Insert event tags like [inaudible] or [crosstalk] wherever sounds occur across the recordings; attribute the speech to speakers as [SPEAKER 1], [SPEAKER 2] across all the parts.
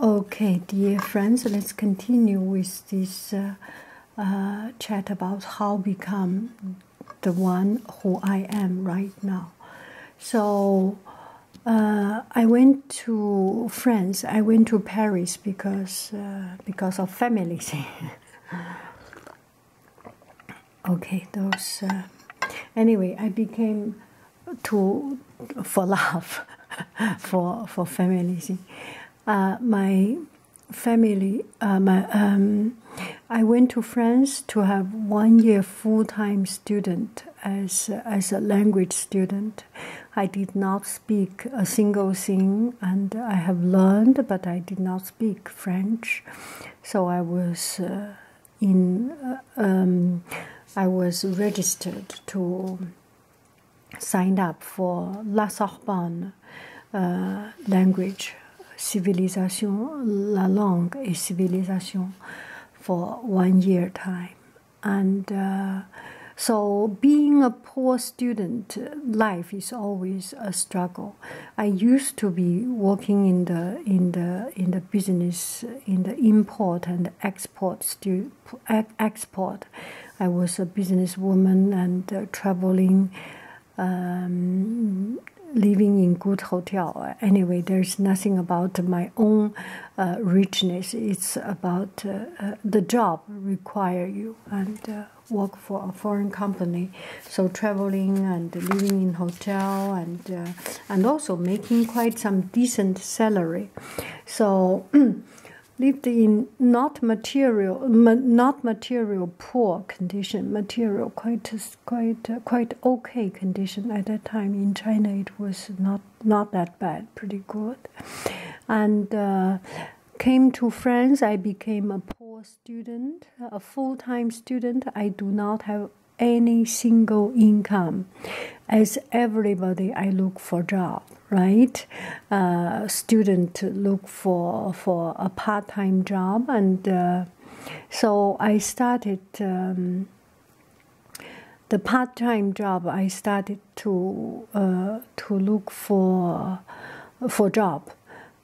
[SPEAKER 1] Okay, dear friends, let's continue with this uh, uh, chat about how become the one who I am right now. So, uh, I went to France. I went to Paris because because of families. [laughs] okay, those. anyway, I became to for love, [laughs] for for family thing. Uh, my family, uh, my um, I went to France to have one year full time student as as a language student. I did not speak a single thing, and I have learned, but I did not speak French, so I was. Uh, in uh, um, I was registered to sign up for La Sorbonne uh, language, civilization la langue et civilisation for one year time, and uh, so being a poor student, life is always a struggle. I used to be working in the in the in the business in the import and export. Stu export. I was a businesswoman and uh, traveling, um, living in good hotel. Anyway, there's nothing about my own uh, richness. It's about uh, the job require you and work for a foreign company. So traveling and living in hotel and and also making quite some decent salary. So lived [clears throat] in not material, not material poor condition, material quite quite quite okay condition at that time in China. It was not not that bad, pretty good, and. Uh, came to France, I became a poor student, a full time student. I do not have any single income as everybody i look for job right uh, student look for for a part-time job and uh, so i started um, the part-time job i started to uh, to look for for job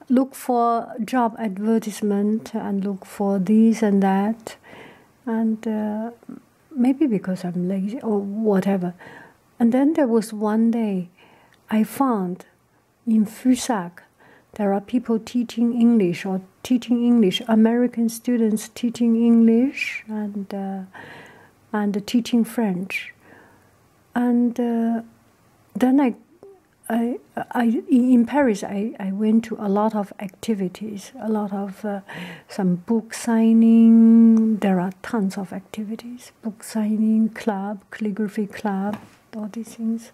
[SPEAKER 1] look for job advertisement and look for this and that and uh, maybe because I'm lazy or whatever. And then there was one day I found in Fusak there are people teaching English or teaching English, American students teaching English and uh, and teaching French. And uh, then I, I in Paris, I, I went to a lot of activities, a lot of uh, some book signing. There are tons of activities: book signing club, calligraphy club, all these things.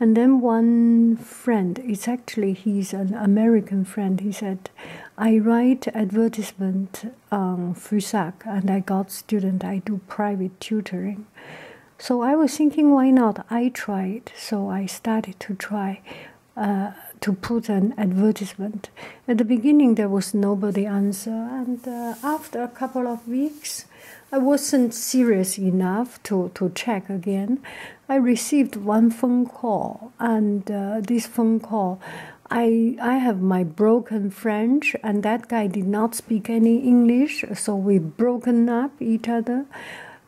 [SPEAKER 1] And then one friend, it's actually he's an American friend. He said, "I write advertisement on um, Fusac, and I got student. I do private tutoring." So I was thinking, why not? I tried, so I started to try uh, to put an advertisement. At the beginning, there was nobody answer, and uh, after a couple of weeks, I wasn't serious enough to to check again. I received one phone call, and uh, this phone call. I I have my broken French and that guy did not speak any English so we broken up each other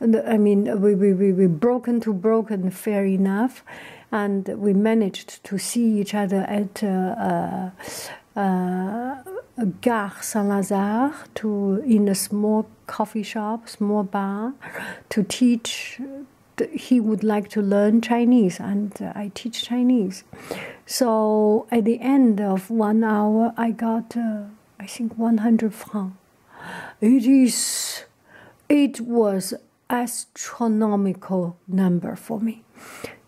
[SPEAKER 1] I mean, we, we, we, we broken to broken, fair enough, and we managed to see each other at uh, uh, uh, Gare Saint Lazare to in a small coffee shop, small bar, to teach. He would like to learn Chinese, and I teach Chinese. So at the end of one hour, I got, I think, 100 francs it is, it was astronomical number for me.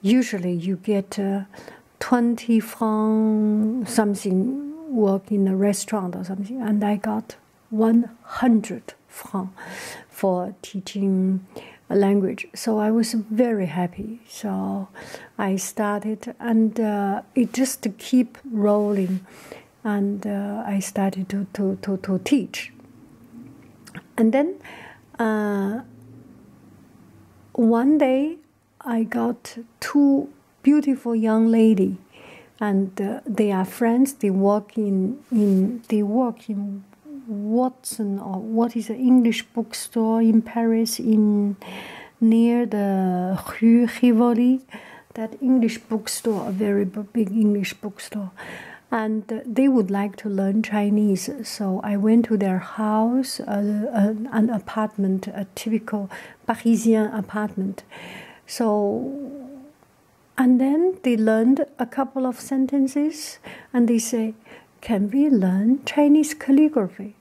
[SPEAKER 1] Usually you get uh, 20 francs something work in a restaurant or something, and I got 100 francs for teaching a language. So I was very happy. So I started, and uh, it just kept rolling, and uh, I started to to to to teach. And then, uh, one day, I got two beautiful young lady, and they are friends. They work in in they work in Watson or what is an English bookstore in Paris in near the Rue Rivoli, that English bookstore, a very big English bookstore. And uh, they would like to learn Chinese, so I went to their house, uh, uh, an, apartment, a typical Parisian apartment. So, and then they learned a couple of sentences, and they say, "Can we learn Chinese calligraphy?"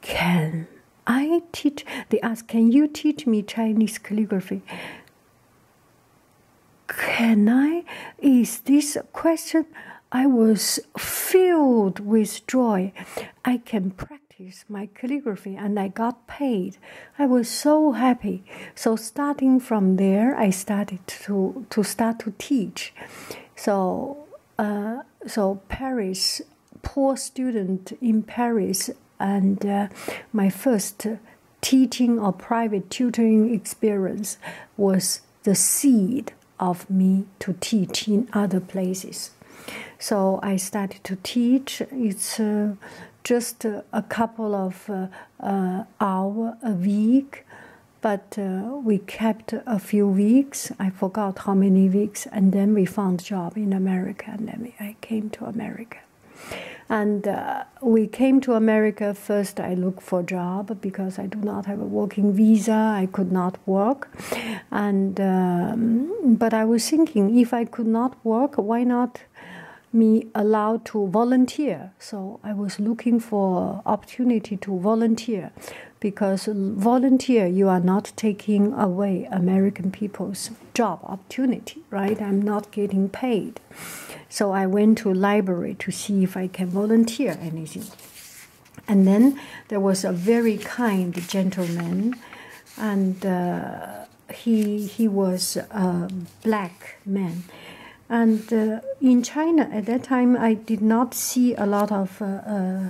[SPEAKER 1] Can I teach? They ask, Can you teach me Chinese calligraphy? Can I? Is this a question? I was filled with joy. I can practice my calligraphy and I got paid. I was so happy. So starting from there, I started to, to start to teach. So, uh, so Paris poor student in Paris, and uh, my first teaching or private tutoring experience was the seed of me to teach in other places. So I started to teach. It's uh, just a couple of uh, hour a week, but we kept kept a few weeks. I forgot how many weeks, and then we found a job in America, and then I came to America. And uh, we came to America first. I looked for job because I do not have a working visa. I could not work, and um, but I was thinking if I could not work, why not? me allowed to volunteer. So I was looking for opportunity to volunteer because volunteer you are not taking away american people's job opportunity right i'm not getting paid so i went to library to see if i can volunteer anything and then there was a very kind gentleman and uh, he he was a black man and uh, in china at that time i did not see a lot of uh,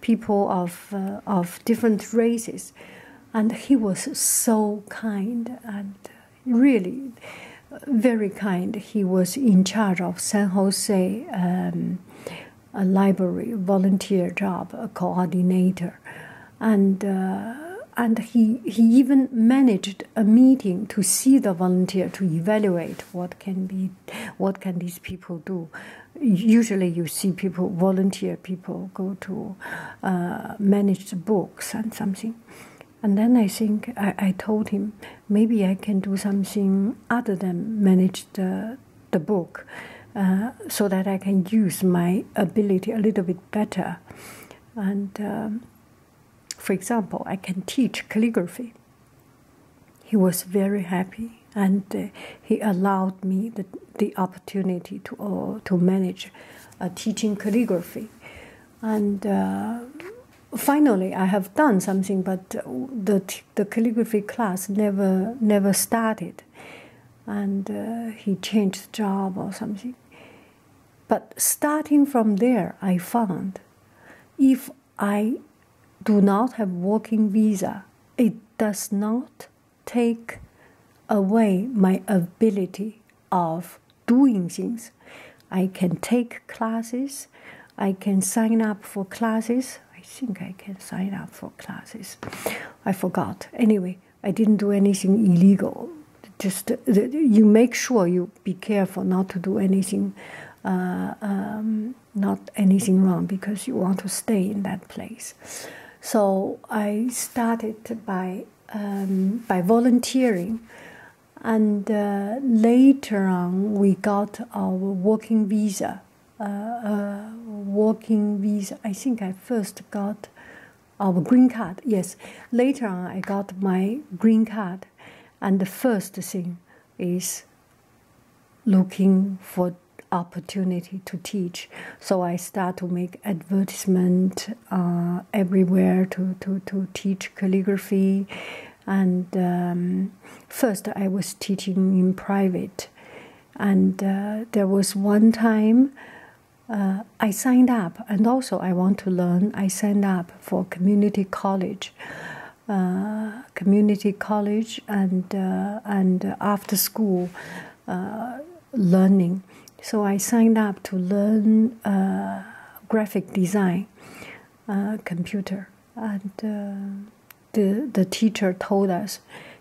[SPEAKER 1] people of uh, of different races, and he was so kind and really very kind. He was in charge of San Jose um, a library volunteer job, a coordinator, and. Uh, and he, he even managed a meeting to see the volunteer to evaluate what can be what can these people do? Usually, you see people volunteer people go to uh, manage the books and something. And then I think I, told him maybe I can do something other than manage the the book, uh, so that I can use my ability a little bit better. And um, for example, I can teach calligraphy. He was very happy and uh, he allowed me the, the opportunity to, uh, to manage teaching calligraphy. And uh, finally, I have done something, but the, the calligraphy class never, never started. And he changed job or something. But starting from there, I found if I do not have working visa, it does not take away my ability of doing things. I can take classes, I can sign up for classes. I think I can sign up for classes. I forgot. Anyway, I didn't do anything illegal. Just you make sure you be careful not to do anything uh, um, not anything wrong because you want to stay in that place. So I started by um, by volunteering, and uh, later on we got our working visa. Uh, uh, working visa. I think I first got our green card. Yes, later on I got my green card and the first thing is looking for opportunity to teach. So I start to make advertisement uh, everywhere to, to, to teach calligraphy. And um, first I was teaching in private. And uh, there was one time uh, I signed up, and also I want to learn. I signed up for community college. Uh, community college and uh, and after school uh, learning. So I signed up to learn graphic design, computer, and the the teacher told us,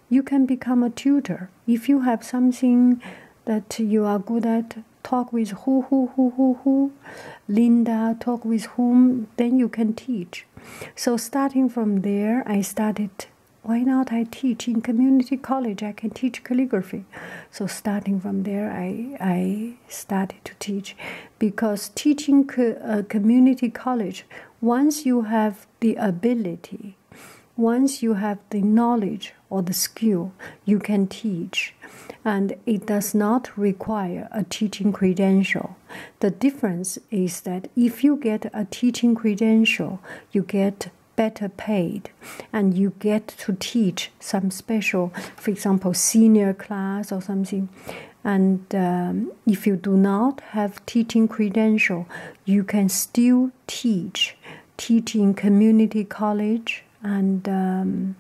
[SPEAKER 1] you can become a tutor if you have something that you are good at. Talk with who who who who who Linda, talk with whom, then you can teach. So, starting from there, I started. Why not? I teach in community college. I can teach calligraphy. So starting from there, I I started to teach, because teaching a uh, community college, once you have the ability, once you have the knowledge or the skill, you can teach, and it does not require a teaching credential. The difference is that if you get a teaching credential, you get better paid and you get to teach some special, for example, senior class or something. And um, if you do not have teaching credential, you can still teach, teach in community college and um,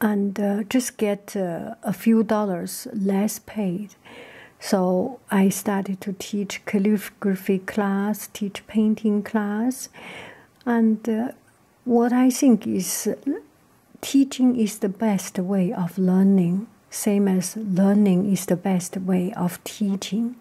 [SPEAKER 1] and uh, just get uh, a few dollars less paid. So I started to teach calligraphy class, teach painting class, and uh, what I think is teaching is the best way of learning, same as learning is the best way of teaching.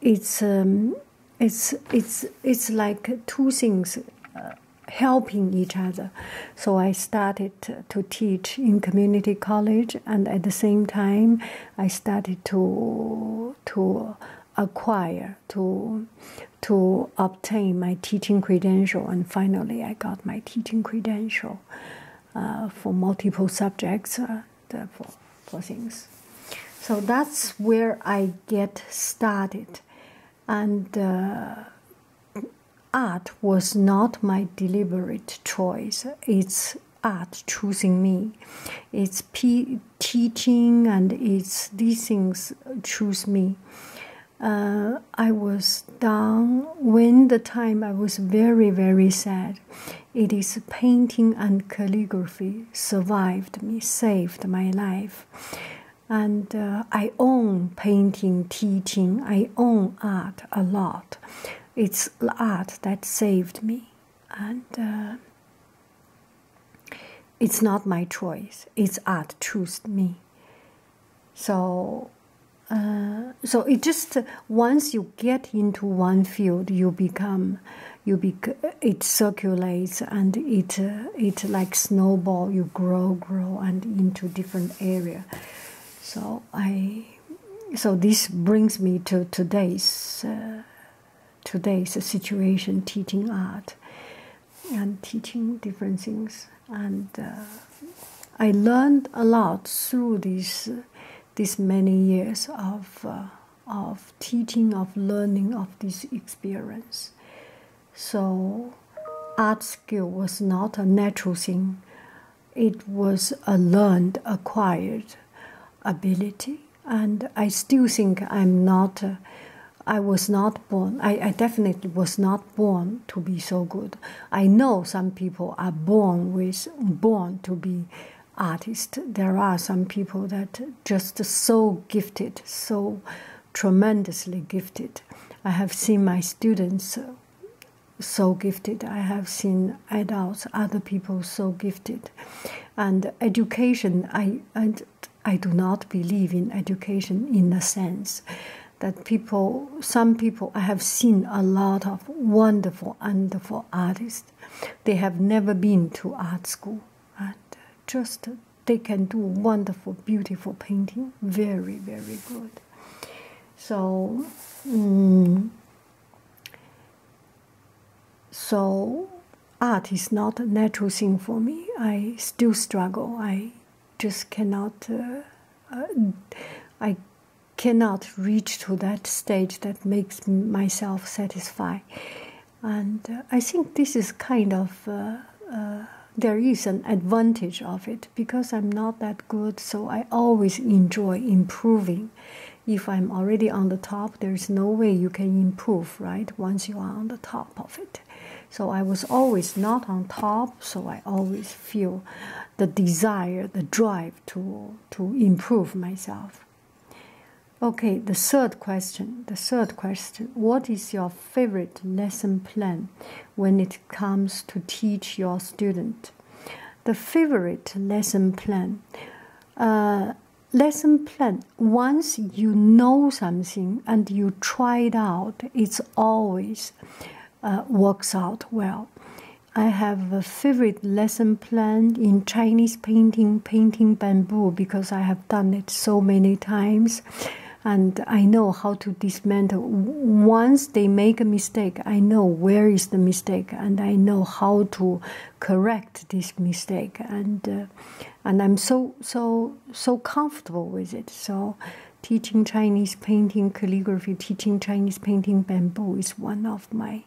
[SPEAKER 1] it's um, it's it's it's like two things uh, helping each other so i started to teach in community college and at the same time i started to to acquire to to obtain my teaching credential and finally i got my teaching credential uh, for multiple subjects uh, for, for things so that's where I get started. And uh, art was not my deliberate choice. It's art choosing me. It's teaching and it's these things choose me. Uh, I was down when the time I was very, very sad. It is painting and calligraphy survived me, saved my life. And uh, I own painting, teaching, I own art a lot. It's art that saved me. And uh, it's not my choice, it's art chose me. So, uh, so it just once you get into one field, you become um, you it circulates and it uh, it like snowball you grow grow and into different area so i so this brings me to today's uh, today's situation teaching art and teaching different things and uh, i learned a lot through these these many years of of teaching, of learning of this experience. So, art skill was not a natural thing, it was a learned, acquired ability. And I still think I'm not, uh, I was not born, I definitely was not born to be so good. I know some people are born with, born to be artists. There are some people that just so gifted, so tremendously gifted. I have seen my students uh, so gifted. I have seen adults, other people so gifted. And education, I, I do not believe in education in the sense that people, some people, I have seen a lot of wonderful, wonderful artists. They have never been to art school and uh, just they can do wonderful, beautiful painting. Very, very good. So, mm, so art is not a natural thing for me. I still struggle. I just cannot. Uh, uh, I cannot reach to that stage that makes myself satisfied and uh, I think this is kind of uh, uh, there is an advantage of it because I'm not that good, so I always enjoy improving. If I'm already on the top, there's no way you can improve, right? Once you are on the top of it. So I was always not on top, so I always feel the desire, the drive to to improve myself. Okay, the third question. The third question. What is your favorite lesson plan when it comes to teach your student? The favorite lesson plan. Uh, lesson plan. Once you know something and you try it out, it's always uh, works out well. I have a favorite lesson garden plant in Chinese painting, painting bamboo, because I have done it so many times and I know how to dismantle. Once they make a mistake, I know where is the mistake and I know how to correct this mistake and uh, and I'm so so so comfortable with it. So teaching Chinese painting calligraphy, teaching Chinese painting bamboo is one of my